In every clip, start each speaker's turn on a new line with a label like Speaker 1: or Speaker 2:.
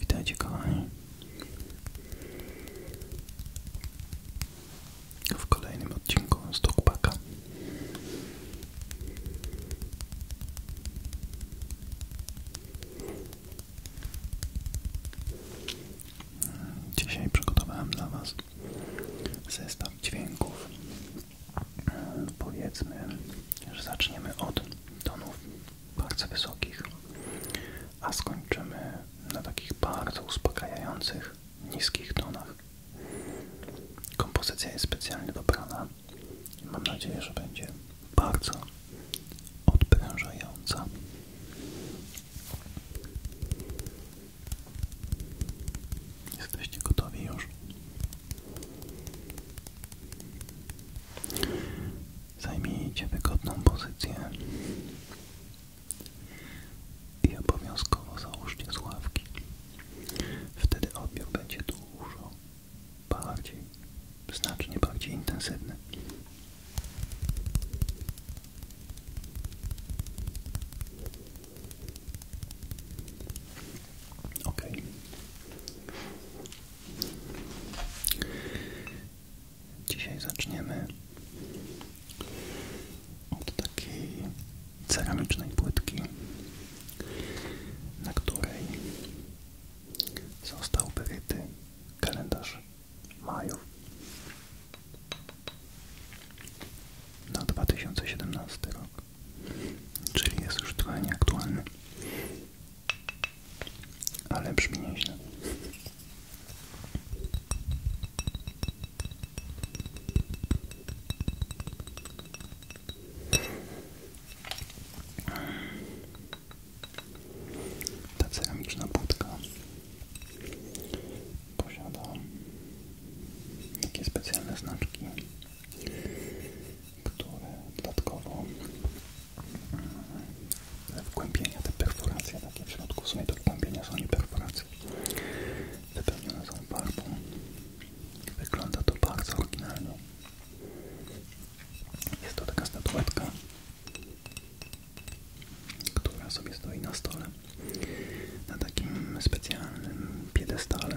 Speaker 1: Witajcie kochani w kolejnym odcinku z Dogpaka. Dzisiaj przygotowałem dla Was zestaw dźwięków. Powiedzmy, że zaczniemy od tonów bardzo wysokich, a skończymy na takich bardzo uspokajających, niskich tonach. Kompozycja jest specjalnie dobrana, Mam nadzieję, że będzie bardzo odprężająca. Jesteście gotowi już? Zajmijcie wygodną pozycję i obowiązkowo załóżcie słuchawki. Wtedy odbiór będzie dużo bardziej, znacznie bardziej intensywny. Ok. Dzisiaj zaczniemy od takiej ceramicznej płytki, na której został wyryty kalendarz majów na 2017 rok, czyli jest już trochę nieaktualny, ale brzmi nieźle. Ta ceramiczna budka posiada takie specjalne znaczki, które dodatkowo mm, wgłębienia, te perforacje takie w środku, w sumie to są nie perforacje, wypełnione są farbą Wygląda to bardzo oryginalnie. Jest to taka statuetka, która sobie stoi na stole, na takim specjalnym piedestale.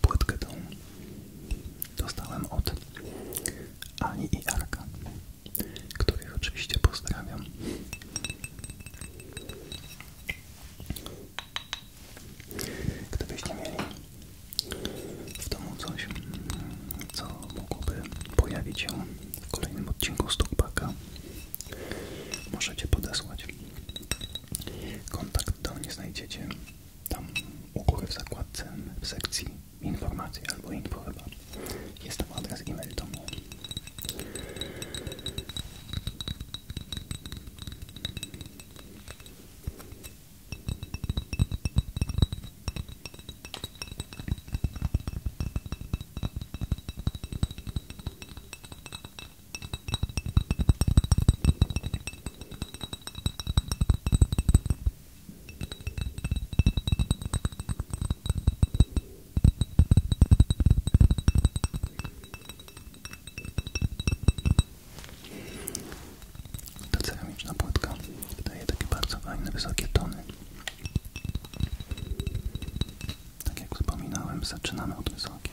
Speaker 1: Płytkę tą dostałem od Ani i Arka, których oczywiście pozdrawiam. Gdybyście mieli w domu coś, co mogłoby pojawić się w kolejnym odcinku Stukbaka, możecie podesłać. Kontakt do mnie znajdziecie tam u w zakładce w sekcji informacji albo info chyba. Jest adres e ta ceramiczna płytka daje takie bardzo fajne, wysokie tony. Tak jak wspominałem, zaczynamy od wysokich.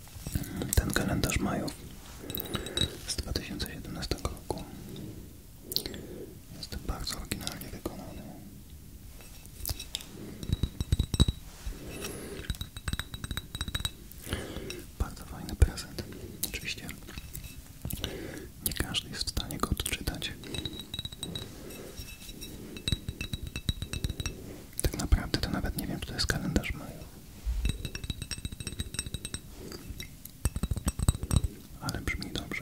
Speaker 1: ten kalendarz maju z 2017 roku jest bardzo oryginalnie wykonany. Bardzo fajny prezent. Oczywiście nie każdy jest w stanie go odczytać. Tak naprawdę to nawet nie wiem, czy to jest kalendarz maju. Ale brzmi dobrze.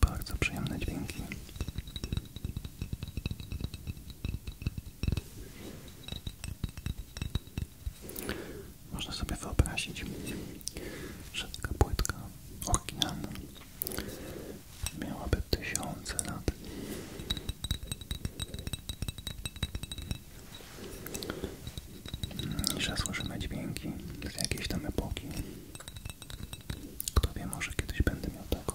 Speaker 1: Bardzo przyjemne dźwięki. Można sobie wyobrazić, że ta płytka oryginalna miałaby tysiące lat. I mm, że słyszymy dźwięki z jakiejś tam epoki. Kto wie, może kiedyś będę miał taką.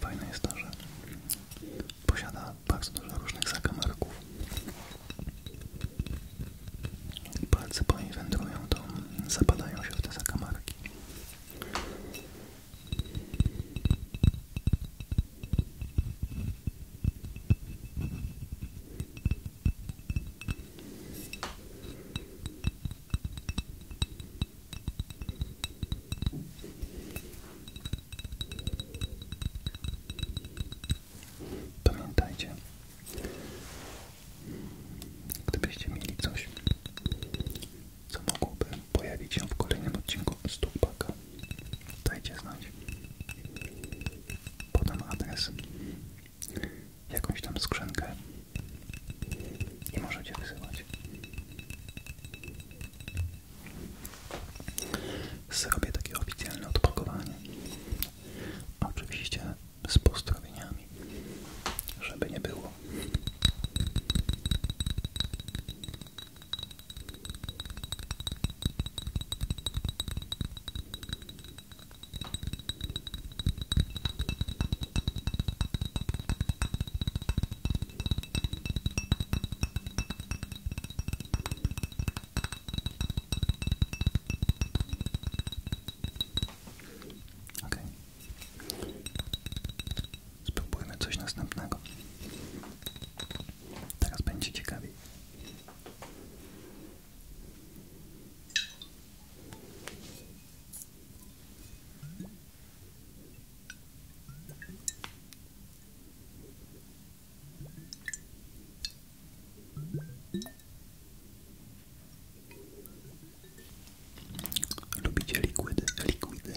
Speaker 1: Fajne jest to, że posiada bardzo różnych zakamarków. Palce po to zapadają się te zakamarki. Pamiętajcie, gdybyście mieli coś, co mogłoby pojawić się w kolejnym odcinku Stupaka, dajcie znać. Podam adres, jakąś tam skrzynkę i możecie wysyłać. Zrobię takie oficjalne odpakowanie. Oczywiście z pozdrowieniami, żeby nie było. Ok. Spróbujmy coś następnego. Teraz będzie ciekawiej. Lubicie likwidy? Likwidy.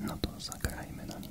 Speaker 1: No to zagrajmy na nich.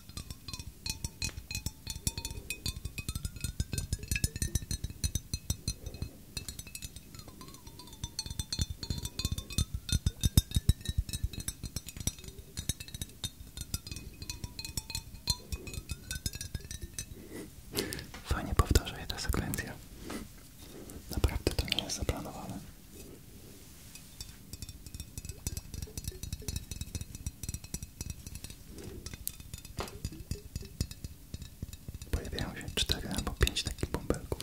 Speaker 1: Fajnie powtarzaję tę sekwencję. Naprawdę to nie jest zaplanowane. Pojawiają się cztery albo pięć takich bąbelków.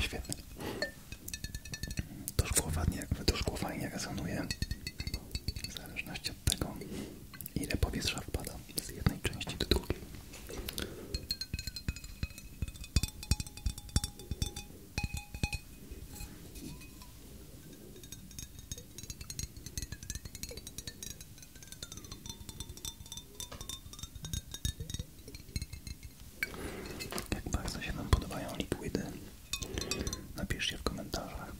Speaker 1: Świetne. To szkło fajnie, to szkło fajnie rezonuje w zależności zależności od tego, ile powietrza wpada z jednej części do drugiej. Jak bardzo się nam podobają liquidy Napiszcie w komentarzach.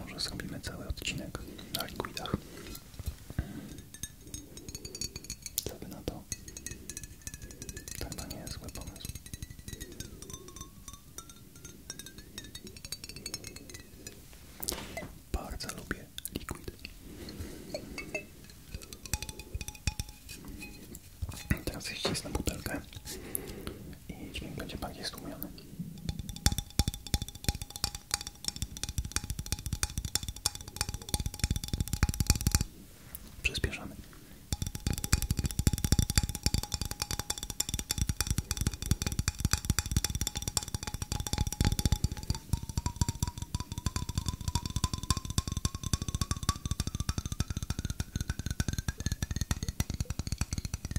Speaker 1: Może zrobimy cały odcinek na liquidach. Co na to? To chyba nie jest zły pomysł. Bardzo lubię liquid. Teraz ściskam butelkę i dźwięk będzie bardziej stłumiony. Przyspieszamy.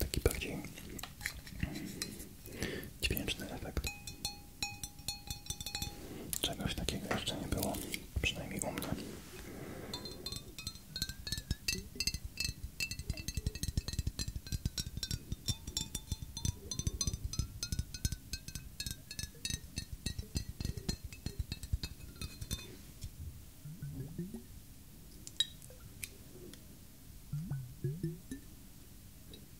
Speaker 1: Taki bardziej dźwięczny efekt. Czegoś takiego jeszcze nie było, przynajmniej u mnie.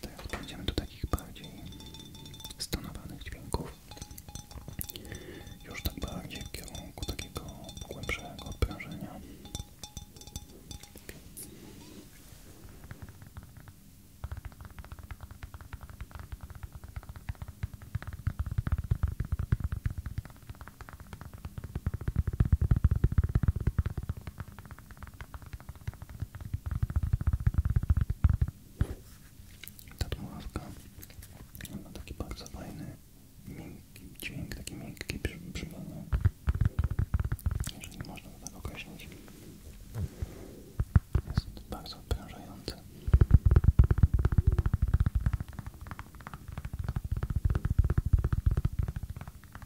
Speaker 1: Teraz przejdziemy do takich bardziej stonowanych dźwięków. Już tak bardziej w kierunku takiego głębszego odprężenia. Ta dmuchawka ma taki bardzo fajny, miękki dźwięk, taki miękki przybalny. Jeżeli można to tak określić. Jest bardzo odprężający.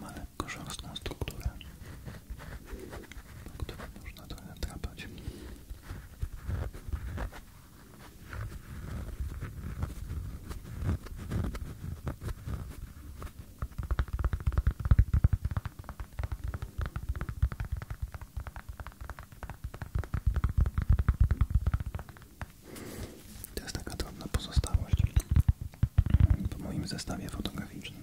Speaker 1: Ma lekko szorstką strukturę, którą tak, można trochę trapać. To jest taka drobna pozostałość po moim zestawie fotograficznym.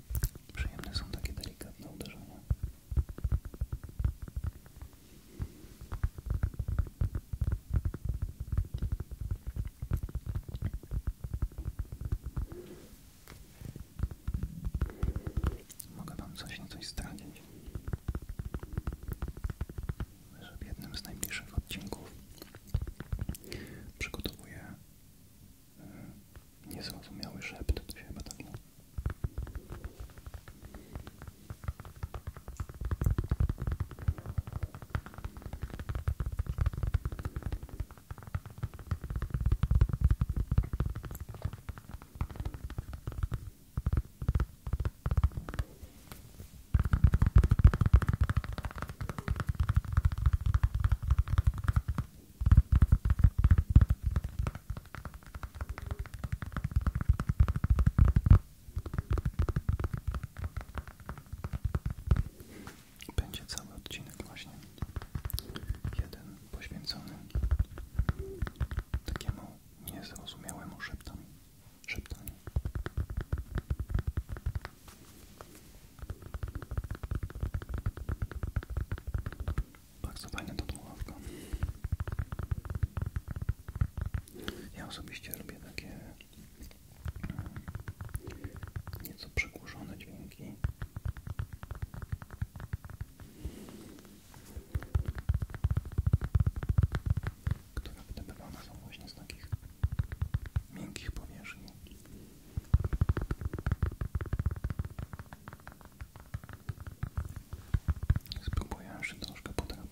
Speaker 1: Przyjemne są takie delikatne uderzenia. Mogę Wam coś na coś zdradzić, że w jednym z najbliższych odcinków przygotowuję E, niezrozumiały szept, to się chyba tak mówi. Będzie cały odcinek właśnie jeden poświęcony takiemu niezrozumiałemu szeptom, szeptaniu. Bardzo fajna ta dmuchawka. Ja osobiście robię takie e, nieco przekłuszone dźwięki. Które wydobywane są właśnie z takich miękkich powierzchni. Spróbuję jeszcze troszkę podrapać.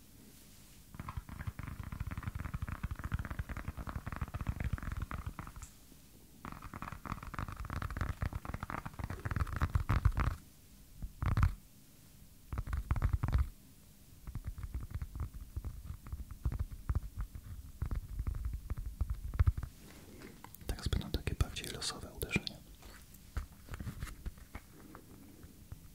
Speaker 1: Teraz będą takie bardziej losowe uderzenia.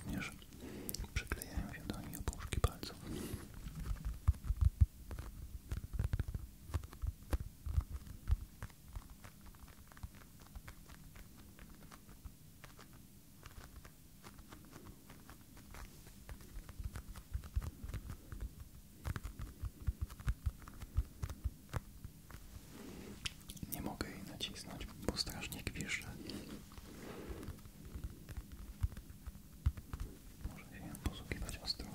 Speaker 1: Również przyklejają się do niej opuszki palców. Nie mogę jej nacisnąć, bo strasznie kwiszy. Może się posługiwać ostrożnie.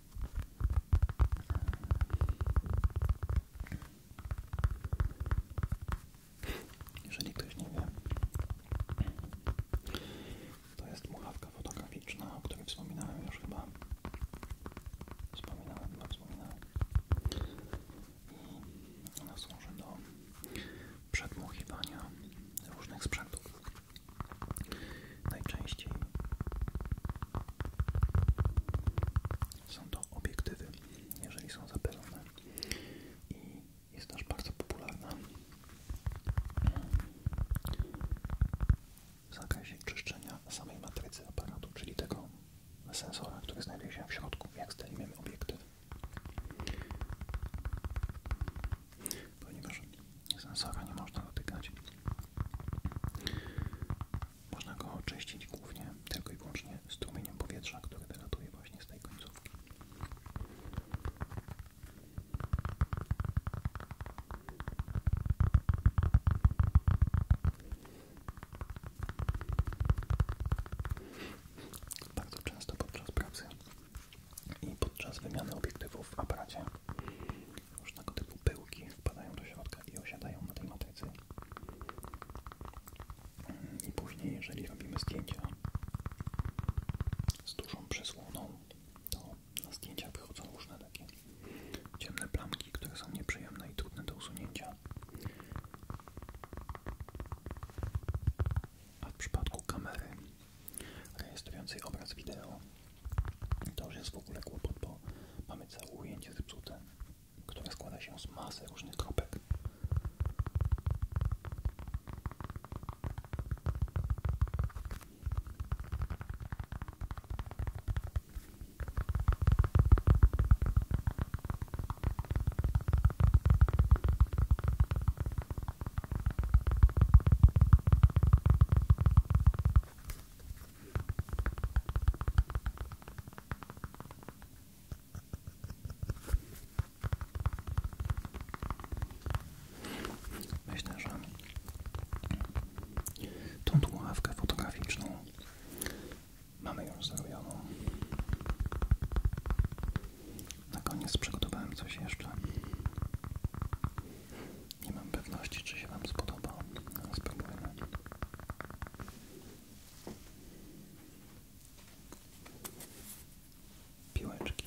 Speaker 1: Jeżeli ktoś nie wie, to jest muchawka fotograficzna, o której wspominałem już chyba. Wspominałem, chyba no, wspominałem. I ona służy do przedmuchiwania różnych sprzętów. Najczęściej są to obiektywy, jeżeli są zapylone i jest też bardzo popularna w zakresie czyszczenia samej matrycy aparatu, czyli tego sensora, który znajduje się w środku, jak zdejmiemy obiektyw. Ponieważ sensora nie można dotykać, można go oczyścić głównie tylko i wyłącznie strumieniem powietrza, które wylatuje właśnie z tej końcówki. Bardzo często podczas pracy i podczas wymiany obiektywów w aparacie różnego typu pyłki wpadają do środka i osiadają na tej matrycy. I później, jeżeli robimy zdjęcia z dużą przesłoną, to na zdjęcia wychodzą różne takie ciemne plamki, które są nieprzyjemne i trudne do usunięcia. A w przypadku kamery rejestrującej obraz wideo to już jest w ogóle kłopot, bo mamy całe ujęcie zepsute, które składa się z masy różnych kropek. Myślę, że tą tuławkę fotograficzną mamy już zrobioną. Na koniec przygotowałem coś jeszcze. Nie mam pewności, czy się Wam spodoba. Spróbujmy. Piłeczki.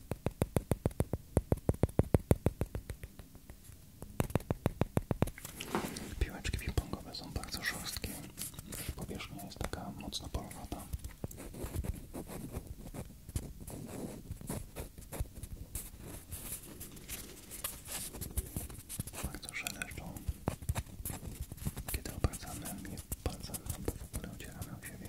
Speaker 1: Piłeczki pingpongowe są bardzo szorstkie. Powierzchnia jest taka mocno porowata. Bardzo szeleszczą. Kiedy obracamy je palcem, albo w ogóle ocieramy o siebie.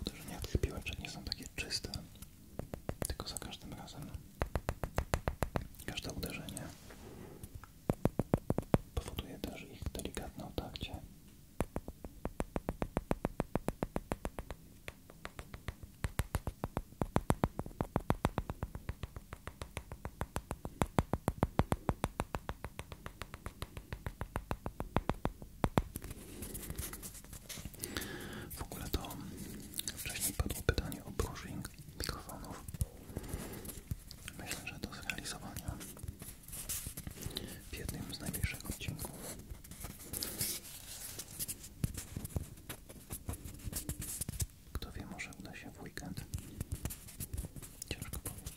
Speaker 1: Uderzenia tych piłeczek nie są takie czyste, tylko za każdym razem każde uderzenie powoduje też ich delikatne otarcie. W ogóle to wcześniej padło pytanie o brushing mikrofonów. Myślę, że do zrealizowania w jednym z najbliższych odcinków. Kto wie, może uda się w weekend. Ciężko powiedzieć.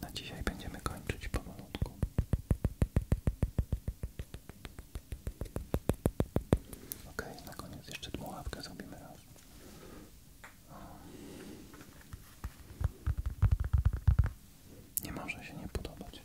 Speaker 1: Na dzisiaj będziemy kończyć powolutku. Ok, na koniec jeszcze dmuchawkę zrobimy raz. Nie może się nie podobać.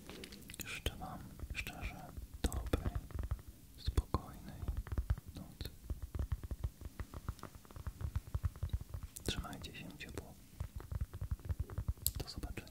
Speaker 1: Życzę szczerze dobrej, spokojnej nocy. Trzymajcie się ciepło. Do zobaczenia.